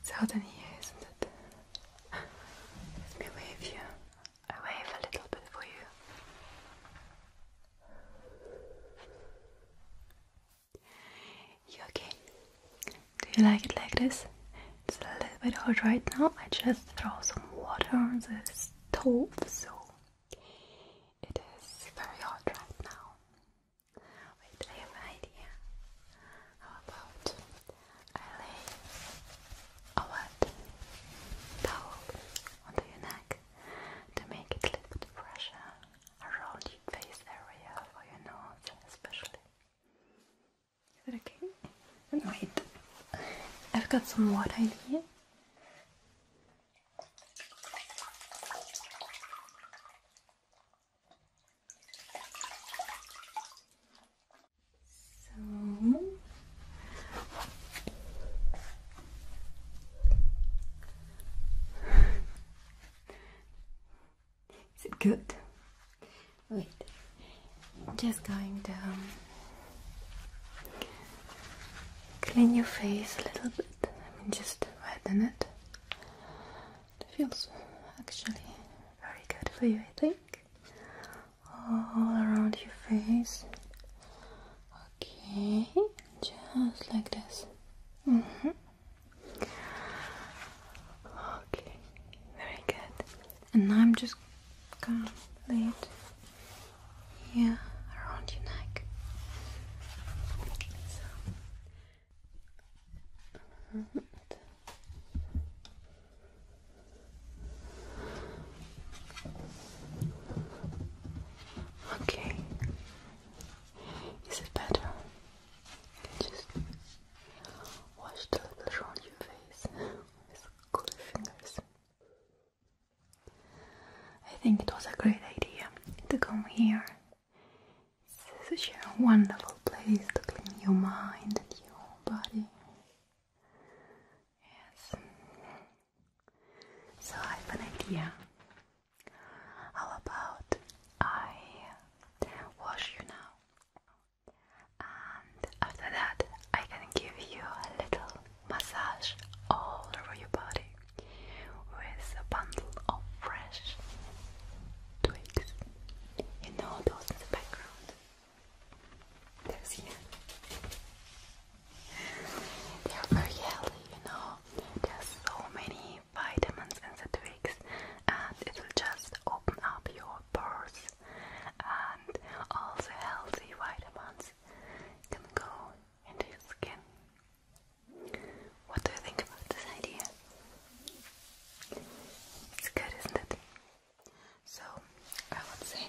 It's hot in here, isn't it? Let me wave you. I wave a little bit for you. You okay? Do you like it like this? It's a little bit hot right now. I just throw some water on the stove so it is very hot right now. Wait, I have an idea. How about I lay a wet towel onto your neck to make it a little bit around your face area for your nose, especially. Is it okay? Then wait. I've got some water in here. So is it good? Wait, just going down clean your face a little bit. I mean, just widen it. It feels actually very good for you, I think. All around your face. Okay, just like this. Mm -hmm. Okay, very good. And I'm just gonna lay it yeah, around your neck. Okay. Is it better? just wash the little around your face with cool fingers. I think it was a great idea to come here. It's such a wonderful place to clean your mind and your body. Yes. So I have an idea. How about I wash you now? And after that, I can give you a little massage all over your body with a bundle of fresh twigs. You know those in the background. They are very healthy, you know. There's so many vitamins in the twigs, and it will just open up your pores. And all the healthy vitamins can go into your skin what do you think about this idea? It's good, isn't it? So, I would say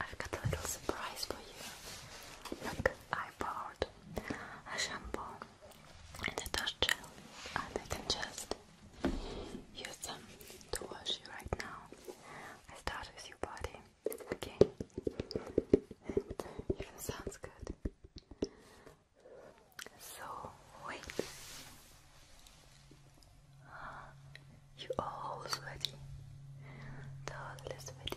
I've got a little surprise for you. Look, I I shampoo and a dust gel, and I can just use them to wash you right now. I start with your body, okay? It sounds good. So, wait. You all sweaty, totally sweaty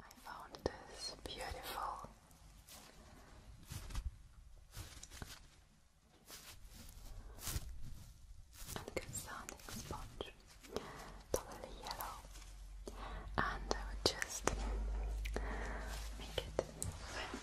I found this beautiful and good sponge, totally yellow, and I would just make it wet.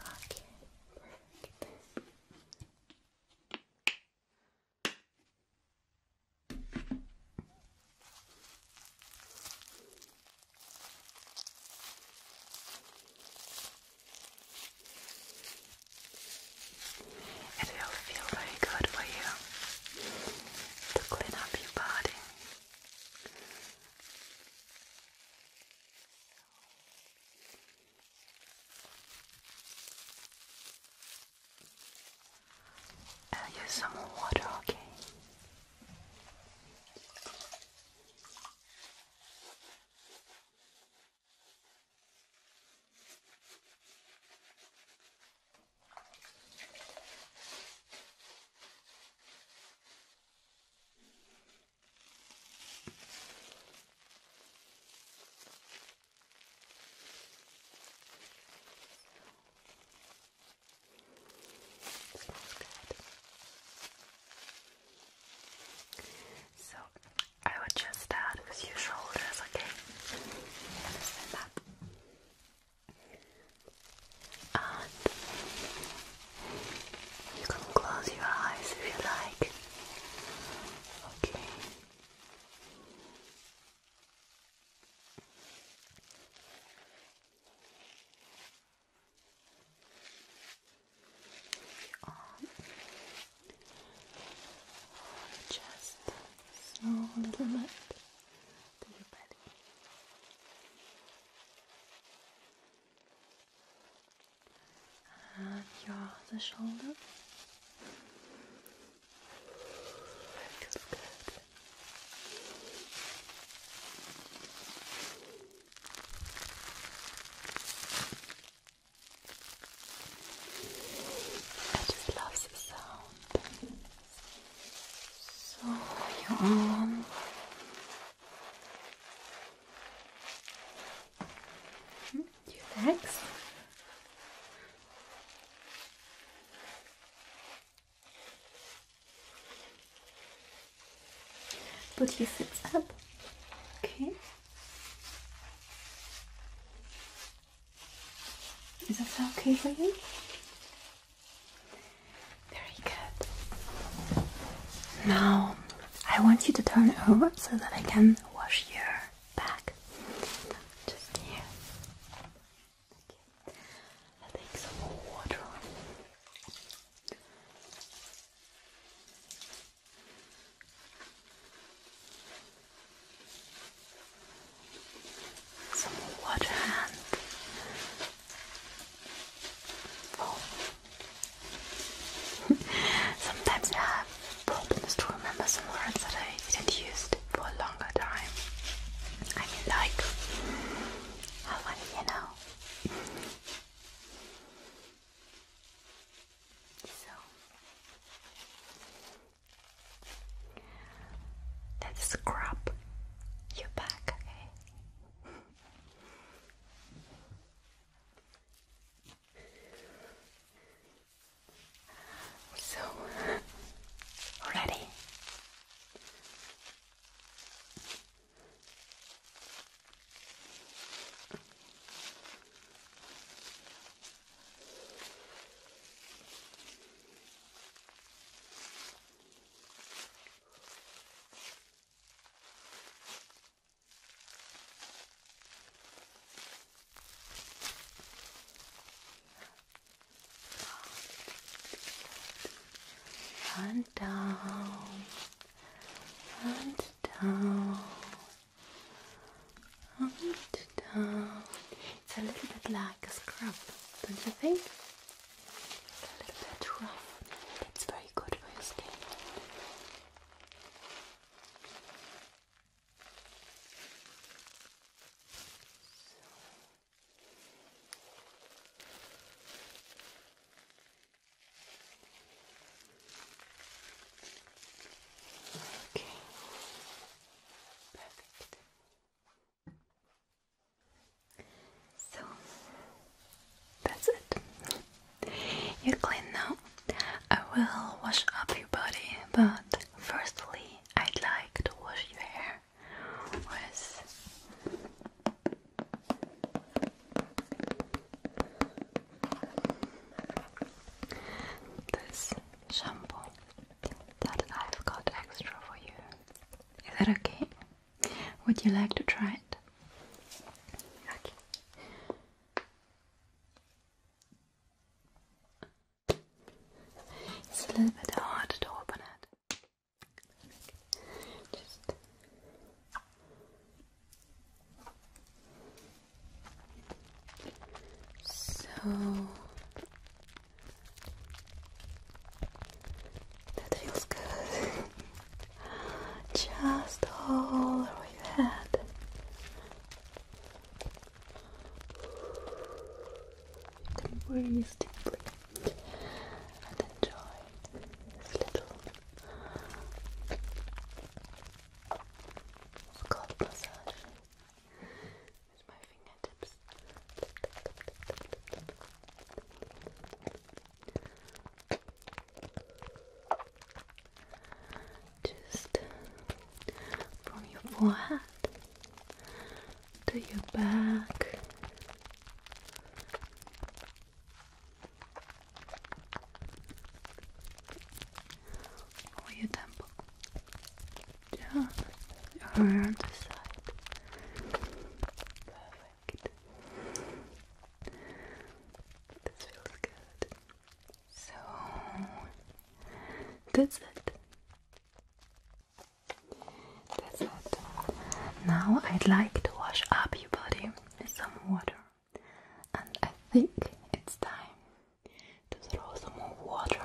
Okay, It will feel very good for you to clean up your body. I'll use some more water, okay? So, smells I would just start with your shoulders, okay? And stand up and you can close your eyes if you like. Okay. Um, just a little bit to your body and your shoulder. I just love the sound. So your arm Two But he sits up. Okay. Is that okay for you? Very good. Now, I want you to turn over so that I can wash your back. Just here. Okay. i take some more water. Some water and Sometimes I have problems to remember some words that I didn't use for a longer time. I mean, like, how funny, you know? so, let's scrub your back, okay? So, ready? And down and down and down. It's a little bit like a scrub, don't you think? a little bit rough. It's very good for your skin. Okay. Perfect. So that's it. You're clean now. I will wash up your body, but firstly, I'd like to wash your hair with this shampoo that I've got extra for you. Is that okay? Would you like to try it? It's a little bit hard to open it. so that feels good. Just all over your head. You can breathe deeply and enjoy this little scalp massage with my fingertips. Just from your forehead to your back. Or your temple. Just around the side. This feels good. So, that's it. That's it. Now I'd like to wash up your body with some water. And I think it's time to throw some more water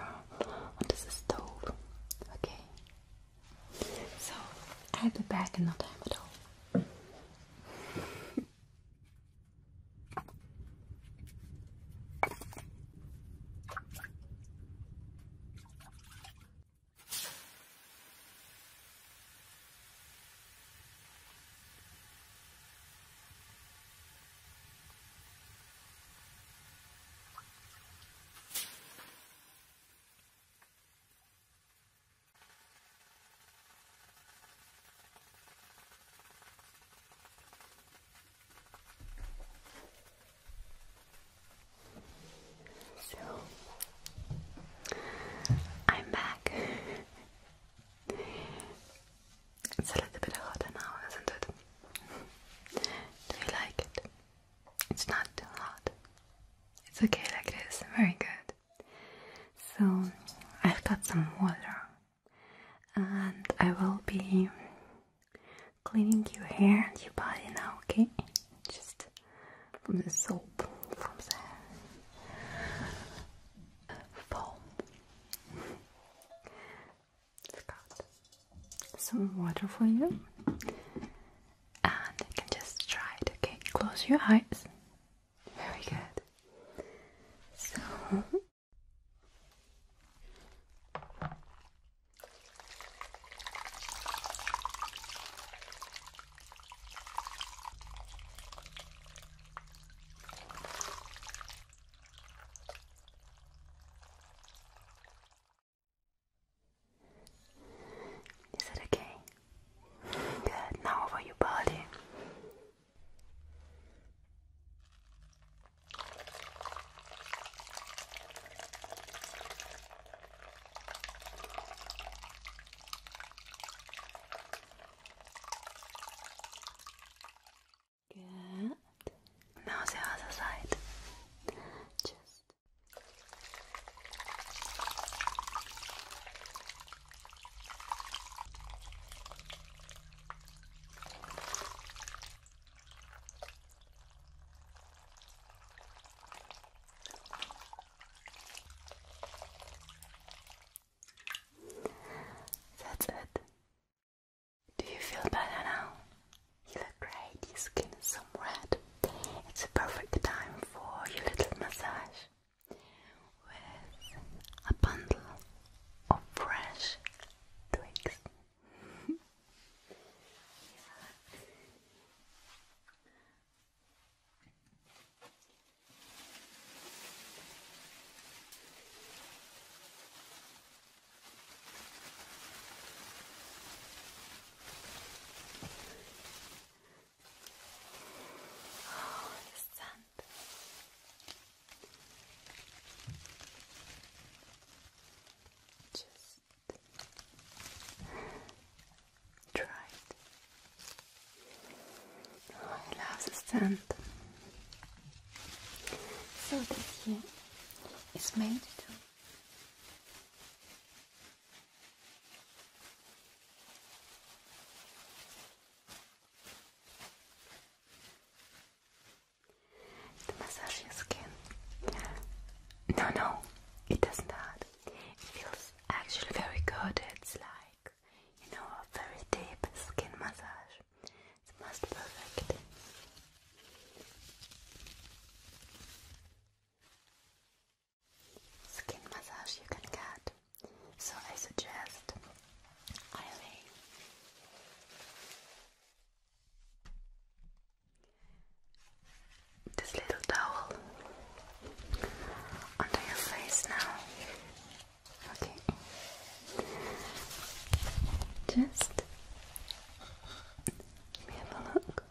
onto the stove. Okay? So I'll be back in no time at all. So I'm back. it's a little bit hotter now, isn't it? Do you like it? It's not too hot. It's okay like this. Very good. So I've got some water and I will be cleaning your hair and your body now, okay? Just from the soap, from the foam. I've got some water for you and you can just try it. Okay, close your eyes. Very good. So. Is it okay? Good. Now over your body. Good. Now the other side. Just that's it. Do you feel better now? You look great, your skin is some red. It's a perfect time for your little massage with a bundle of fresh twigs. Oh, the Just try I love the scent. So this here is made to to massage skin. No, no, it does not. hurt. It feels actually very good. It's like, you know, a very deep skin massage. It's most perfect skin massage you can get. So I suggest this little towel under your face now. Okay. Just have a look.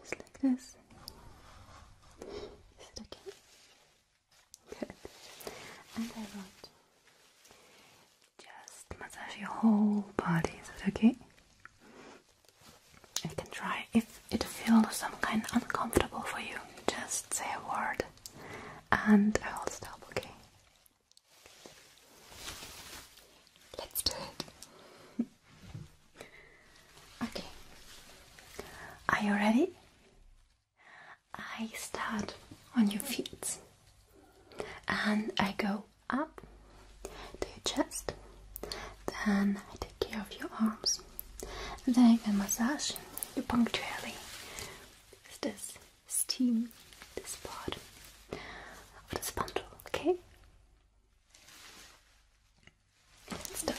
Just like this. Is it okay? Good. And I want just massage your whole body. Is it okay? You can try. If it feels some kind uncomfortable for you, just say a word and I will stop, okay? Let's do it. okay. Are you ready? I start on your feet and I go up to your chest. Then I take care of your arms. And then I can massage you punctually with this steam this part of this bundle, okay? start.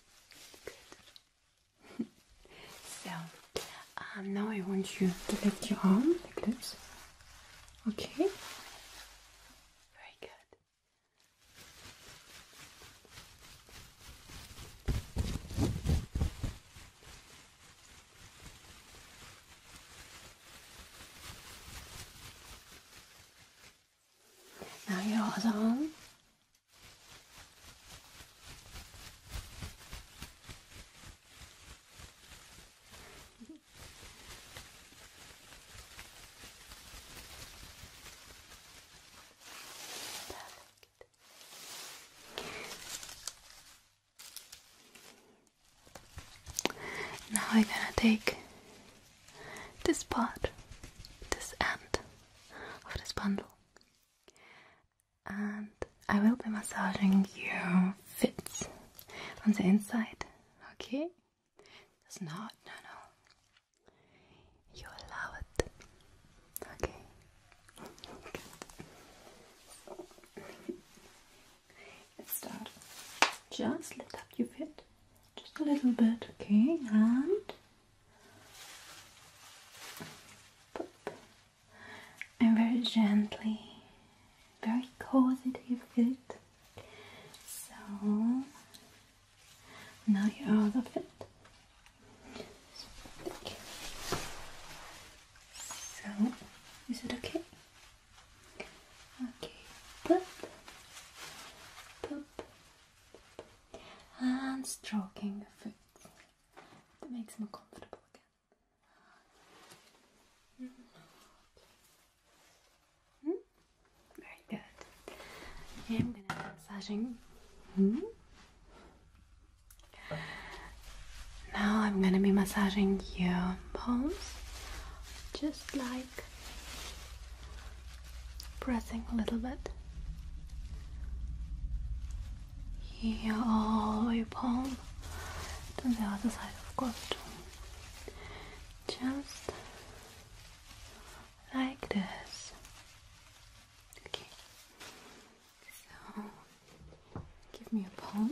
so, um, now I want you to lift your arm like this. Okay. Very good. Now yours on. Perfect. Now I'm gonna take this part, this end of this bundle. And I will be massaging your fits on the inside, okay? It's not, no, no. You allow it. Okay. Let's start. Just lift up your fit. Just a little bit, okay? And and very gently, very cozy to So now you're out of it. So is it okay? Okay, pop, pop, and stroking the foot that makes them comfortable again. Hmm? Very good. I'm gonna be massaging. Hmm? Now I'm gonna be massaging your bones just like like pressing a little bit here all the way palm to the other side of course too. just like this okay so give me a palm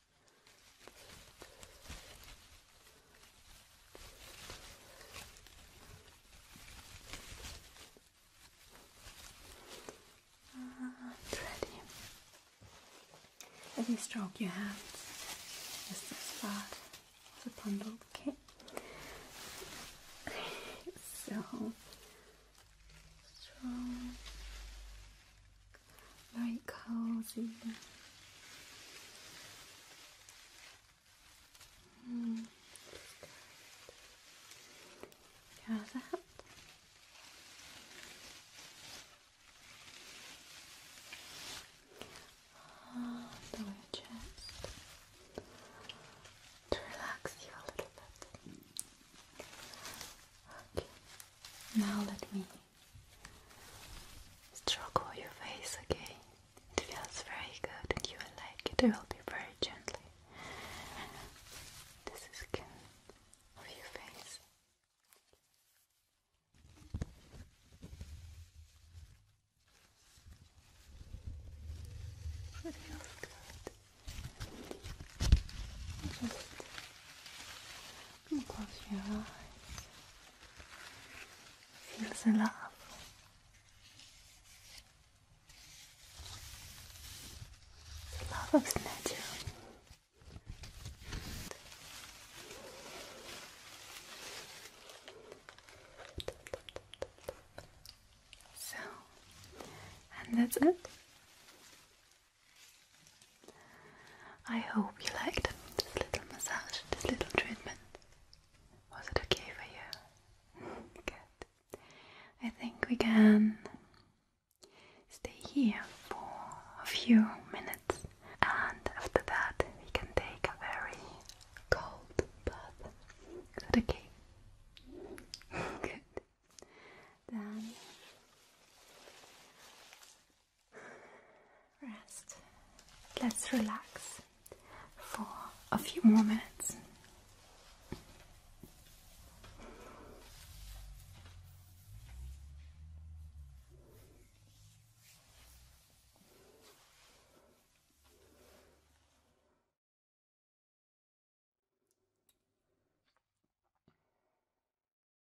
ready. Let me stroke your hands. Is this part the bundle? Okay. so strong very cozy. Mm. Good. Gather up. Oh, the to relax you a little bit. Okay. Now let me Stroke all your face again. It feels very good and you will like it. It will be very gently. This is skin of your face. It good close your eyes. Feel the love. The love of nature. So, and that's it. I hope you liked this little massage, this little treatment. Was it okay for you? Good. I think we can stay here for a few minutes and after that we can take a very cold bath. okay? Good. Then Rest. Let's relax for a few more minutes.